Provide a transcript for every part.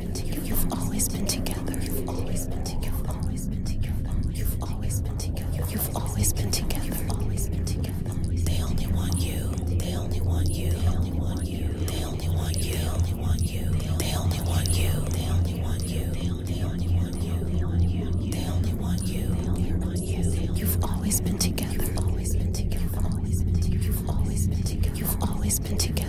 You've always been together. You've always been together. You've always been together. You've always been together. They only want you. They only want you. They only want you. They only want you. They only want you. They only want you. They only want you. They only want you. You've always been together. You've always been together. You've always been together. You've always been together.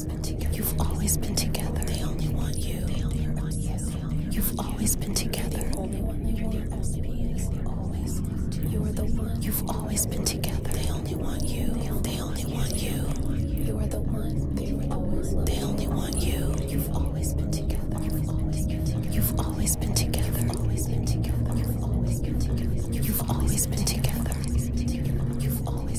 always been together. You've always been together. They only want you. They only want you. You've always been together. You're the only one. You're the only one. Always. You're the one. You've always been together. They only want you. They only want you. You're the one. They always. They only want you. You've always been together. You've always been together. You've always been together. You've always been together. You've always been together. You've always been together. You've always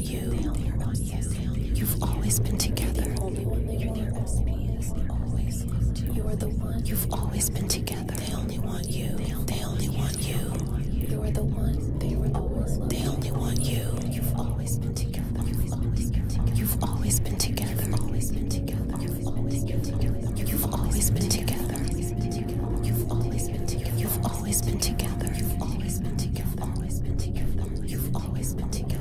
on you. On you. You've always been together. You are the one. You've always been together. They only want you. They only want you. You are the one. They were always. They only want you. You've always been together. You've always been together. You've always been together. You've always been together. You've always been together. You've always been together. You've always been together. You've always been together. You've always been together. You've You've always been together.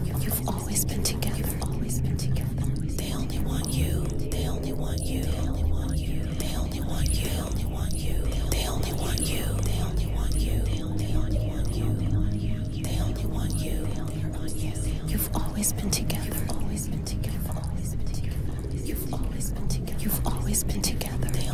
They only want you. They only want you. They only want you. They only want you. They only want you. They only want you. They only want you. You've always been together. You've always been together. You've always been together.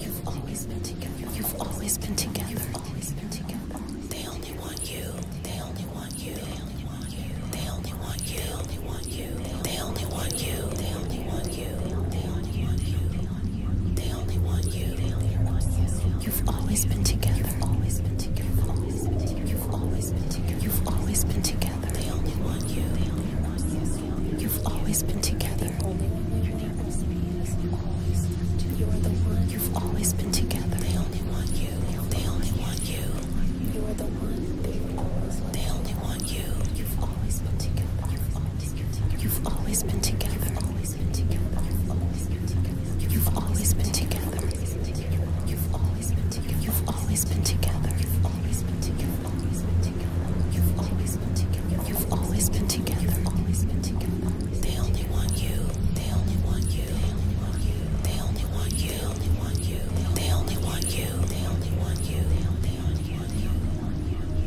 You've always been together. You've always been together. You've always been together. They only want you. They only want you. They only want you. They only want you. They only want you. They only want you. They only want you. They only want you. you. have always been together. You've always been together. You've always been together. They only want you. You've always been together. you have always been together. They only want you. They only want you. They only want you. You've always been together. You've always been together. You've always been together. You've always been together. You've always been together. You've always been together. They only want you. They only want you. They only want you. They only want you. They only want you. They only want you.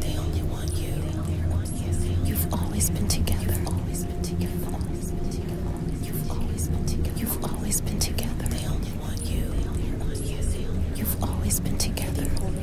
They only want you. You've always been together. You've always been together. They only want you. You've always been together.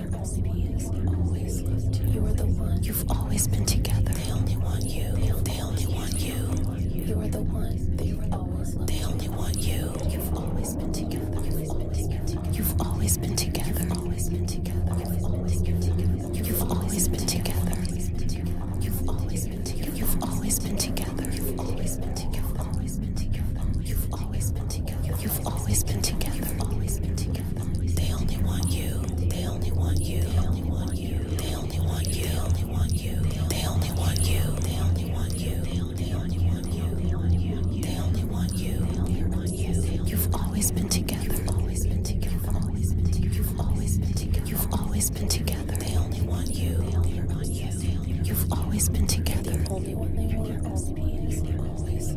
You have always been together. They only want you. They only want you. You are the one. They only want you. have always been together. You've always been together. They only want you. They only want you. They only want you. They only want you. They only want you. They only want you. They only want you. They only want you. They only want you. They only want you. You've always been together. You've always been together. You've always been together. You've always been together. You've always been together. They only want you. They only want you. You've always been together. Only when they want us. Always.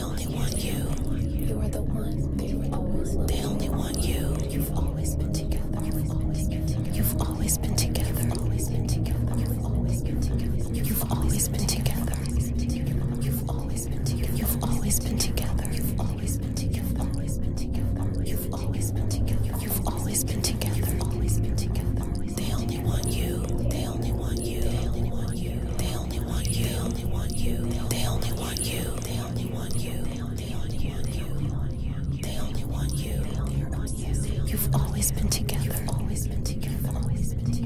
they only want you. You are the one. They always. They only want you. You've always been together. You've always been together. You've always been together. You've always been together. You've always been together. You've always been together. You've always been together. You've always been together. You've always been together. You've always been together. You've always been together. You've always been together. You've always been together. They only want you. They only want you. They only want you. They only want you. They only want you. They only want you. They only want you. They only want you. They only want you. You've always been together. You've always been together.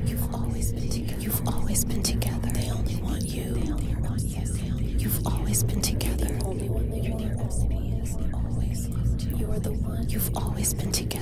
You've always been together. You've always been together. They only want you. You've always been together. You're the one. You've always been together.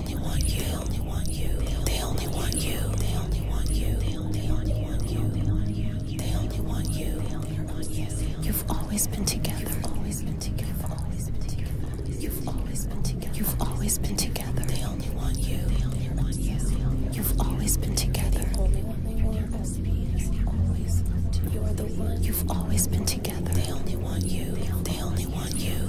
they only want you. They only want you. They only want you. They only want you. They only want you. They only want you. You've always been together. You've always been together. You've always been together. You've always been together. You've always been together. They only want you. They only want you. You've always been together. You've always been together. They only want you. They only want you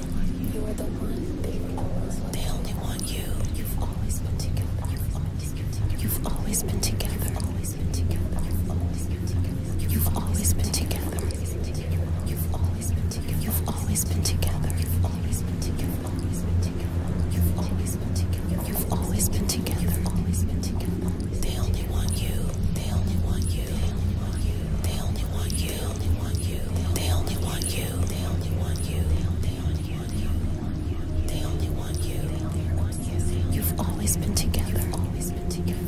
You are the one. They always want They only want you. You've always been together. You've always been together. You've always been together. You've always been together. You've always been together. You've always been together. You've always been together. You've always been together. You've always been together. You've always been together. You've always been together. You've always been together. You've always been together. They only want you. They only want you. They only want you. They only want you you. They only want you. They only want you. They only want you. They only want you. You've always been together. You've always been together.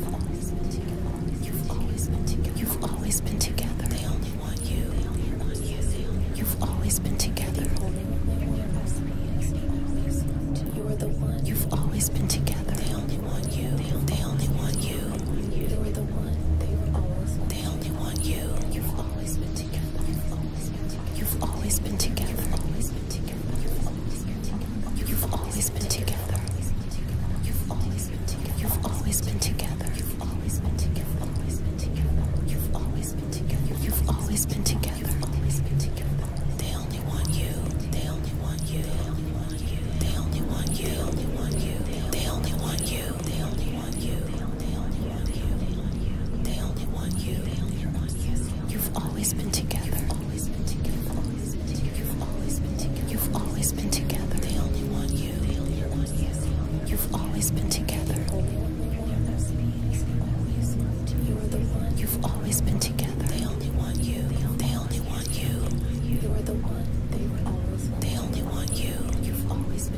You've always been together. You've always been together. They only want you. You've always been together. You're the one. You've always been together. They only want you. They only want you. You're the one. They only want you. You've always always been together. You've always been together. You've always been together. You've always been together. You've always been together. You've always been together. You've always been together. You've always been together. You've always been together. You've always been together. You've always been together. You've always been together. They only want you. They only want you. They only want you. They only want you. They only want you. They only want you want you. They only want you. You've always been together. You've always been together. You've always been together. You've always been together. They only want you. You've always been together. You've always been together. They only want you. They only want you. You're the one. They always. They only want you. You've always been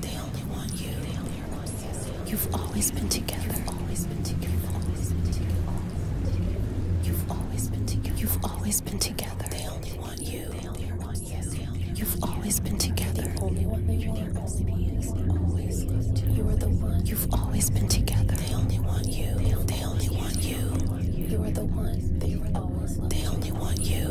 They only want you. They only want you. You've always been together. You've always been together. always been together. They only want you. They only want you. You've always been together. you're the one. you. have always been together. They only want you. They only want you. They only want you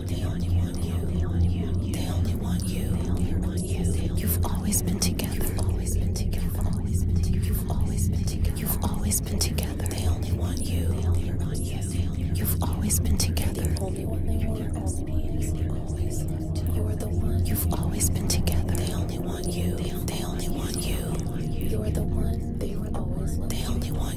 They only want you. They only want you. You've always been together. You've always been together. You've always been together. You've always been together. You've always been together. They only want you. They only want you. You've always been together. they You are the one. You've always been together. They only want you. They only want you. You are the one. They always. They only want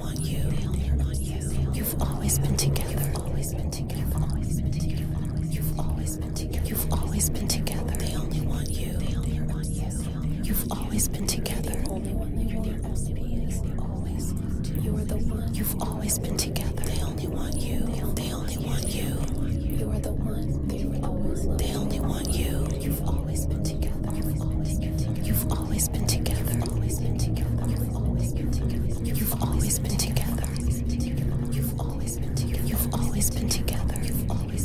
want you. You've always been together. You've always been together. You've always been together. You've always been together. You've always been together. They only want you. They only want you. You've always been together. The only one that you're the only is always. You are the one. You've always been together. They only want you. They only want you. You are the one. They always. They only want you. You've always been together. You've always been together. You've always been together. You've always been together. You've always been together. You've always been together. You've always been together. You've always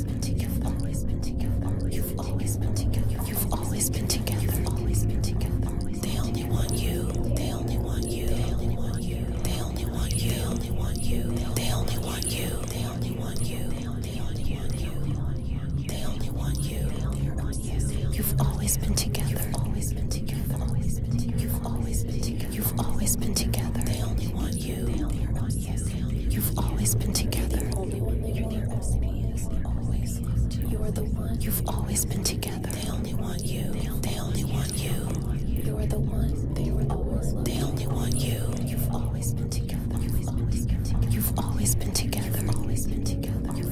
been together. You've always been together. You've always been together. You've always been together. You've always been together. They only want you. They only want you. They only want you. They only want you. They only want you. They only want you. They only want you. They only want you. They only want you. You've always been together. You've always been together. You've always been together. You've always been together. You've always been together. They only want you. They only want you. You've always been together. You're the you. You're the one. You've always been together. They only want you. They only want you. They only want you. You've always been together. You've always been together. You've always been together. You've always been together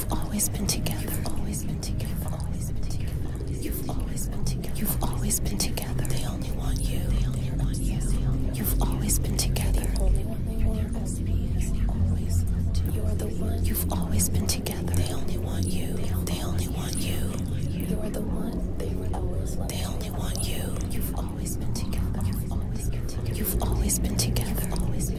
You've always been together. You've always been together. They only want you. you. have always been together. You're the one. You've always been together. They only want you. They only want you. They only want you. You've always been together. You've always been together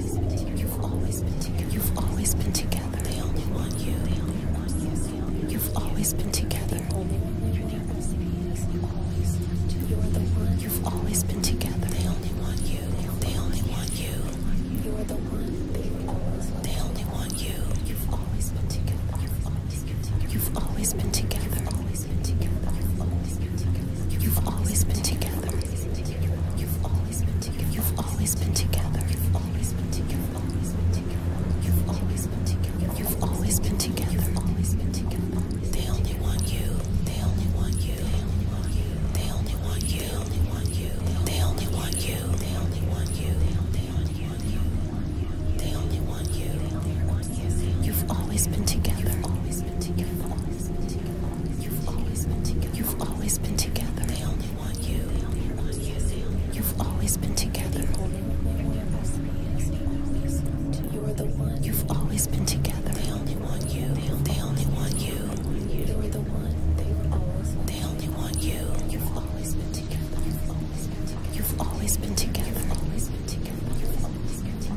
always been together. You've always been together. You've always been together. They only want you. They only want you. You've always been together. You're the one. You've always been together. They only want you. They only want you. You're the one. They only want you. You've always been together. You've always been together. You've always been together. You've always been together. You've always been together always been together. You've always been together. Always been together together. You've always been together. You've always been together. They only want you. They only want you. You've always been together. You're the one. You've always been together. They only want you. They only want you. You're the one. They only want you. You've always been together. You've always been together. You've always been together.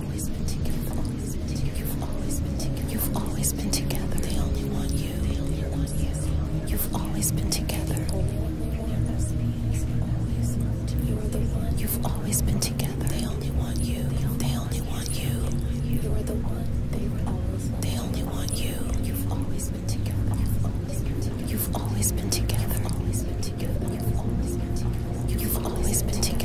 You've always been together. They only want you. you. have always been together. You're the one. You've always been together. They only want you. They only want you. You're the one. They only want you. You've always been together. You've always been together. You've always been together.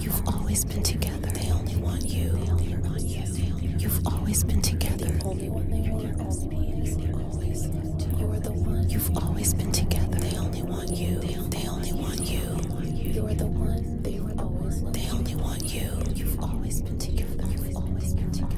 You've always been together. They only want you. They only want you. You've always been together. You're the only one they want. Always. You're the one. You've always been together. They only want you. They only want you. You're the one. They always. They only want you. You've always been together.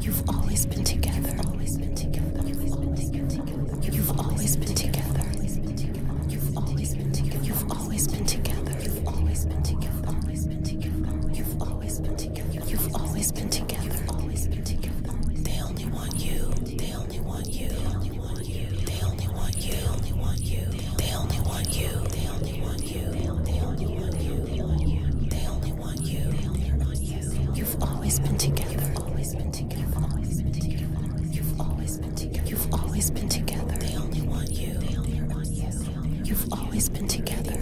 You've always been together. You've always been together. You've always been together. You've always been together. You've always been together. You've always been together. You've always been together. You've always been together. Always been together. You've always been together. You've always been together. Always been together. They only want you. They only want you. They only want you. They only want you. They only want you. They only want you. They only want you. They only want you. They only want you. They only want you. They only want you. You've always been together. Always been together. Always been together. You've always been together. You've always been together. They only want you. They only want you. You've always been together.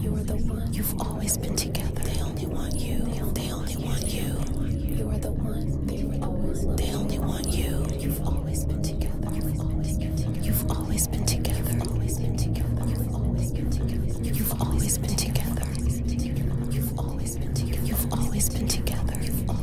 You're the one. You've always been together. They only want you. They only want you. You are the one. They only want you. You've always been together. You've always been together. You've always been together. You've always been together. You've always been together. You've always been together. You've always been together. You've always been together.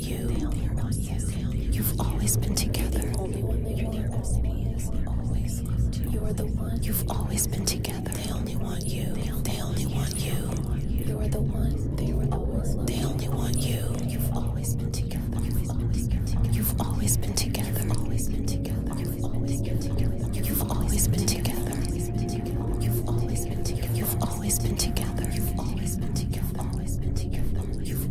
you. You've always been together. You are the one. You've always been together. They only want you. They only want you. You are the one. They only want you. You've always been together. You've always been together. You've always been together. You've always been together. You've always been together. You've always been together. You've always been together. You've always been together. You've always been together. You've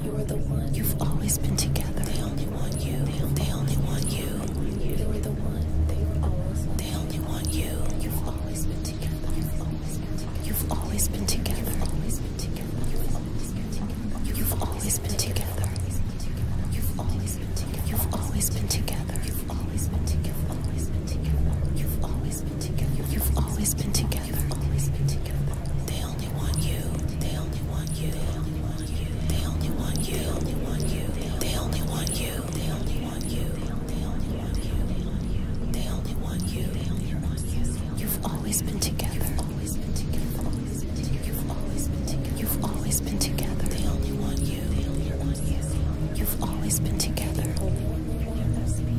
You're the one. You've always been together. They only want you. They, on they only want you. You were the one. They were always. They only want you. You've always been together. You've always been together. You've always been together. You've always been together. You've always been together. You've always been together. You've always been together. You've always been together. You've always been together. You've always been together. You've always been together. You've always been together. They only want you. They only want you. They only want you. They only want you. They only want you. They only want you. They only want you. They only want you. you. have always been together. You've always been together. You've always been together. They only want you. You've always been together.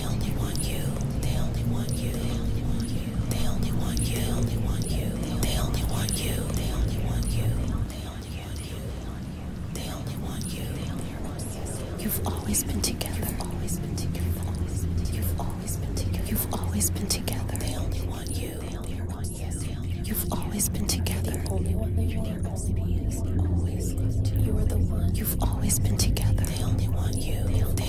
They only want you. They only want you. They only want you. They only want you. They only want you. They only want you. They only want you. They only want you. You've always been together. Always been together. You've always been together. You've always been together. They only want you. You've always been together. The only one that you're the only always. You are the one. You've always been together. They only want you.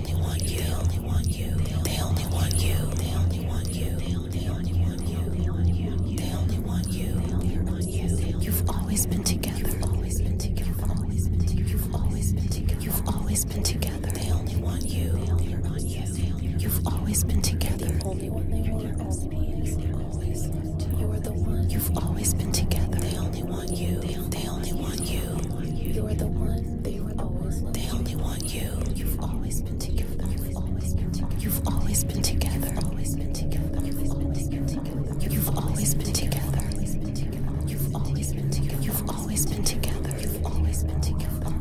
only want you. They only want you. They only want you. They only want you. They only want you. They only want you. They only want you. You've always been together. You've always been together. You've always been together. You've always been together. You've always been together. They only want you. They only want you. You've always been together. The only one they want. Always. You are the one. You've always been together. They only want want you. They, they only want you. You're the one. They were always. They only want you. You've always been together. You've always been together. You've always been together. You've always been together. You've always been together. You've always been together. You've always been together. You've always been together.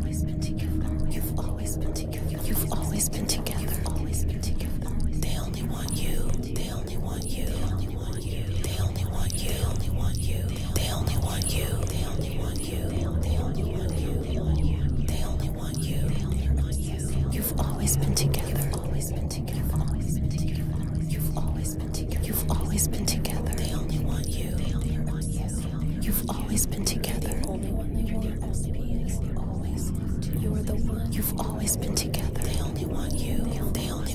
You've always been together. Always been together. You've always been together. You've always been together. You've always been together. They only want you. They they only want you. They only want you. They only want you. They only want you. They only want you. They only want you. They only want you. They only want you. You've always been together. You've always been together. You've always been together. You've always been together. You've always been together. They only want you. They only want you. You've always been together. Only one that you're the only is always. You're the one. You've always been together. They only want you. They only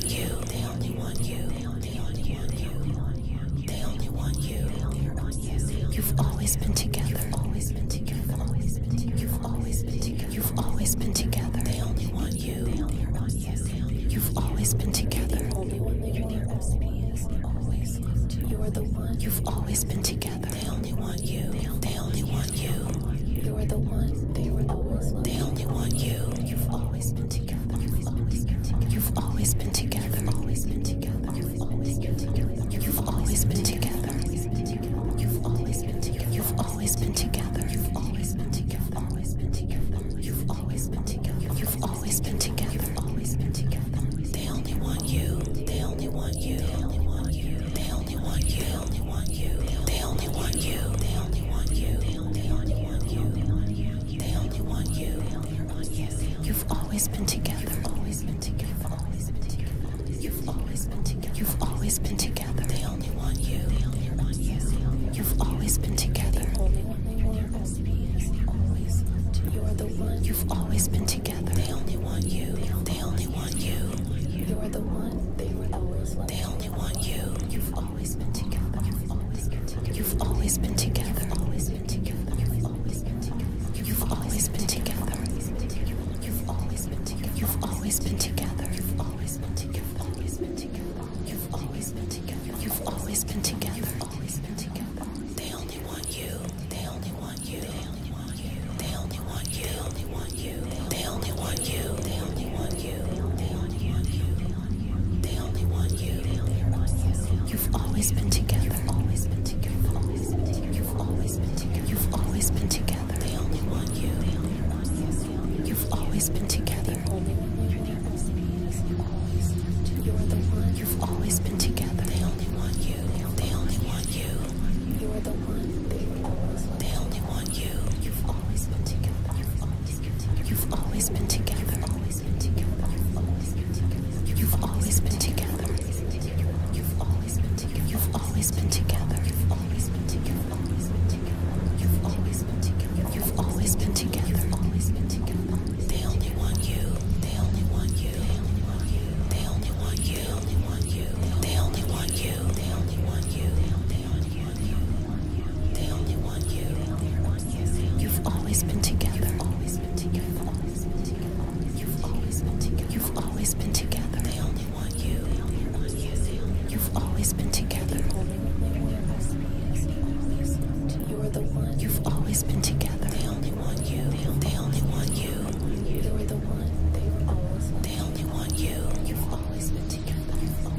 want you. They only want you. They only want you. They only want you. You've always been together. You've always been together. You've always been together. You've always been together. You've always been They only want you. You've always been together. You're the one. You've always been together. They only want you. They only want you. You are the one. They were the one. They only want you. You've always been together. You've always been together. You've always been together. You've always been together. You've always been together. You've always been together. You've always been together. You've always been together. You've always been together. Always been together. You've always been together. You've always been together. You've always been together. They only want you. They only want you. They only want you. They only want you. They only want you. They only want you. They only want you. They only want you. They only want you. You've always been together. You've always been together. You've always been together. You've always been together. You've always been together. They only want you. They only want you. You've always been together. The only one they want is always. You are the one. You've always been together. They only want you. They only want you. You are the one. They were always. They only want you. You've always been together. You've always been together. You've always been together. You've always been together. You've always been together. You've always been together. You've always been together. You've always been together. You've always been together. Always been together. You've always been together. You've always been together. You've always been together. They only want you. They only want you. They only want you. They only want you. They only want want you. They only want you. They only want you. They only want you. They only want you. You've always been together. You've always been together. You've always been together. You've always been together. They only want you. You've always been together. You've always been together. They only want you. They only want you. You're the one. They only want you. You've always been together. You've always You've always been together. You've always been together. You've always been together. You've always been together. You've always been together. You've always been together. You've always been together. You've always been together. You've always been together. They only want you. They only want you. They only want you. They only want you. They only want you. They only want you. They only want you. They only want you. They only want you. You've always been together. You've always been together. You've always been together. You've always been together. They only want you. You've always been together. You're the one. You've always been together. They only want you. They only want you. You're the one. They only want you. You've always been together.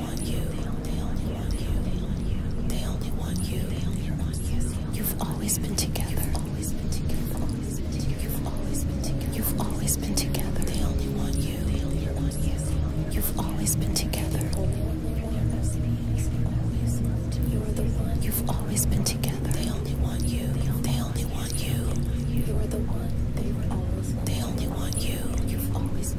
only want you. They only want you. They only want you. You've always been together. You've always been together. You've always been together. You've always been together. They only want you. They only want you. You've always been together. You're the one. You've always been together. They only want you. They only want you. You're the one. They only want you. You've always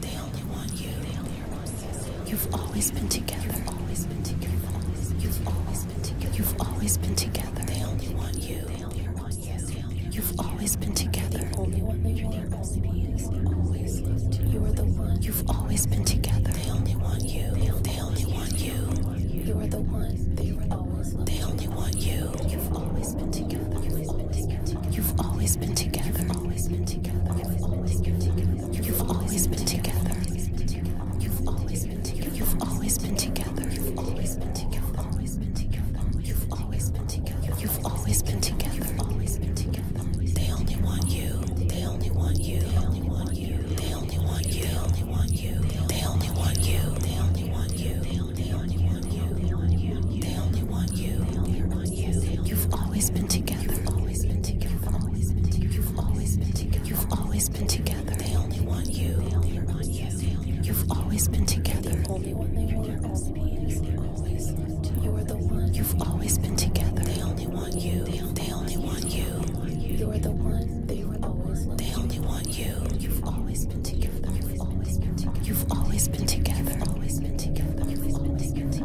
They only want you. You've always been together. You've always been together. You've always been together. You've always been together. They only want you. You've always been together. You are the one. You've always been together. They only want you. They only want you. You are the one. They were always. They only want you. You've always been together. You've always been together. You've always been together. You've always been together. You've always been together. You've always been together. You've always been together. You've always been together. You've always been together. You've always been together. They only want you. They only want you. They only want you. They only want you. They only want you. They only want you. They only want you. They only want you on you. You've always been together. You've always been together. You've always been together. You've always been together. You've always been together. They only want you. They only want you. You've always been together. The only one they want. You are the one. You've always been together. They only want you. They only want you. You are the one. They always. They only want you. You've always been together. You've always been together. You've always been together. You've always been together. You've always been together.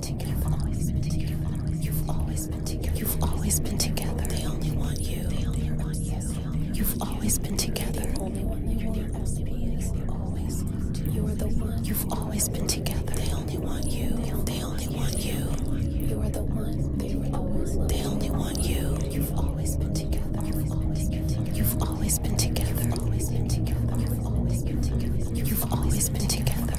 been together. You've always been together. You've always been together. You've always been together. They only want you. They only want you. You've always been together. The only one they want. Always. You are the one. You've always been together. They only want you. They only want you. You are the one. They always. They only want you. You've always been together. You've always been together. You've always been together. You've always been together. You've always been together. You've always been together.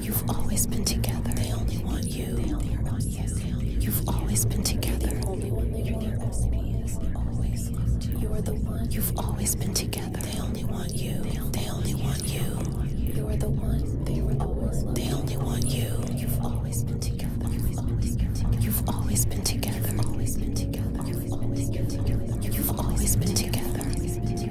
You've always been together. They only want you. you. have always been together. You're the only you. have always been together. They only want you. They only want you. are the one. They were always loved. only want you. You've always been together. You've always been together. You've always been together. You've always been together. You've always been together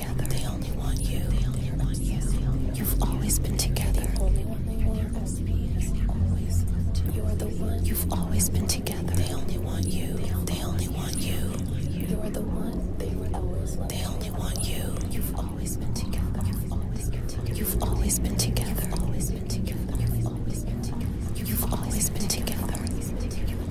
together. They only want you. They only want you. You've always been together. The only one they want. You are the one. You've always been together. They only want you. They only want you. You are the one. They were always. They only want you. You've always been together. You've always been together. You've always been together. You've always been together. You've always been together. You've always been together.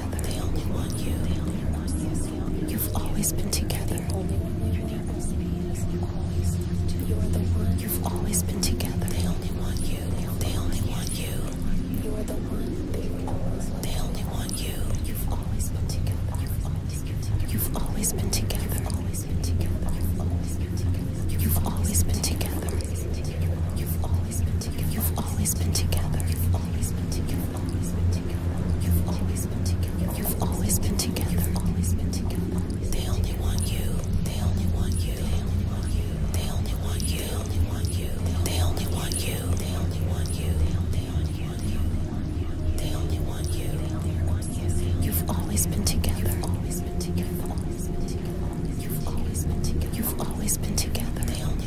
together. They only want you. They only want you. You've always been together. You're the one. You've always been together. They only want you. They only want you. You're the one. They only want you. You've always been together. You've always been together. You've always been together. You've always been together. You've always been together. You've always been together. You've always been together. You've always been together. You've always been together. You've always been together. You've always been together. You've always been together. You've always been together. They only want you. They only want you. They only want you. They only want you. They only want you. They only want you. They only want you. They only want you. They only want you. You've always been together. You've always been together. You've always been together. You've always been together. You've always been together. They only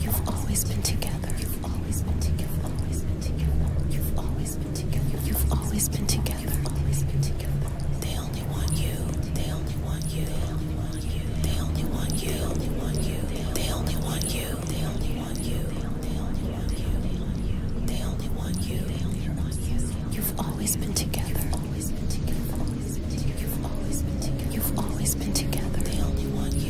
You've always been together. You've always been together. You've always been together. You've always been together. You've always been together. You've always been together. They only want you. They only want you. They only want you. They only want you. They only want you. They only want you. They only want you. They only want you. They only want you. They only want you. You've always been together. You've always been together. You've always been together. You've always been together. They only want you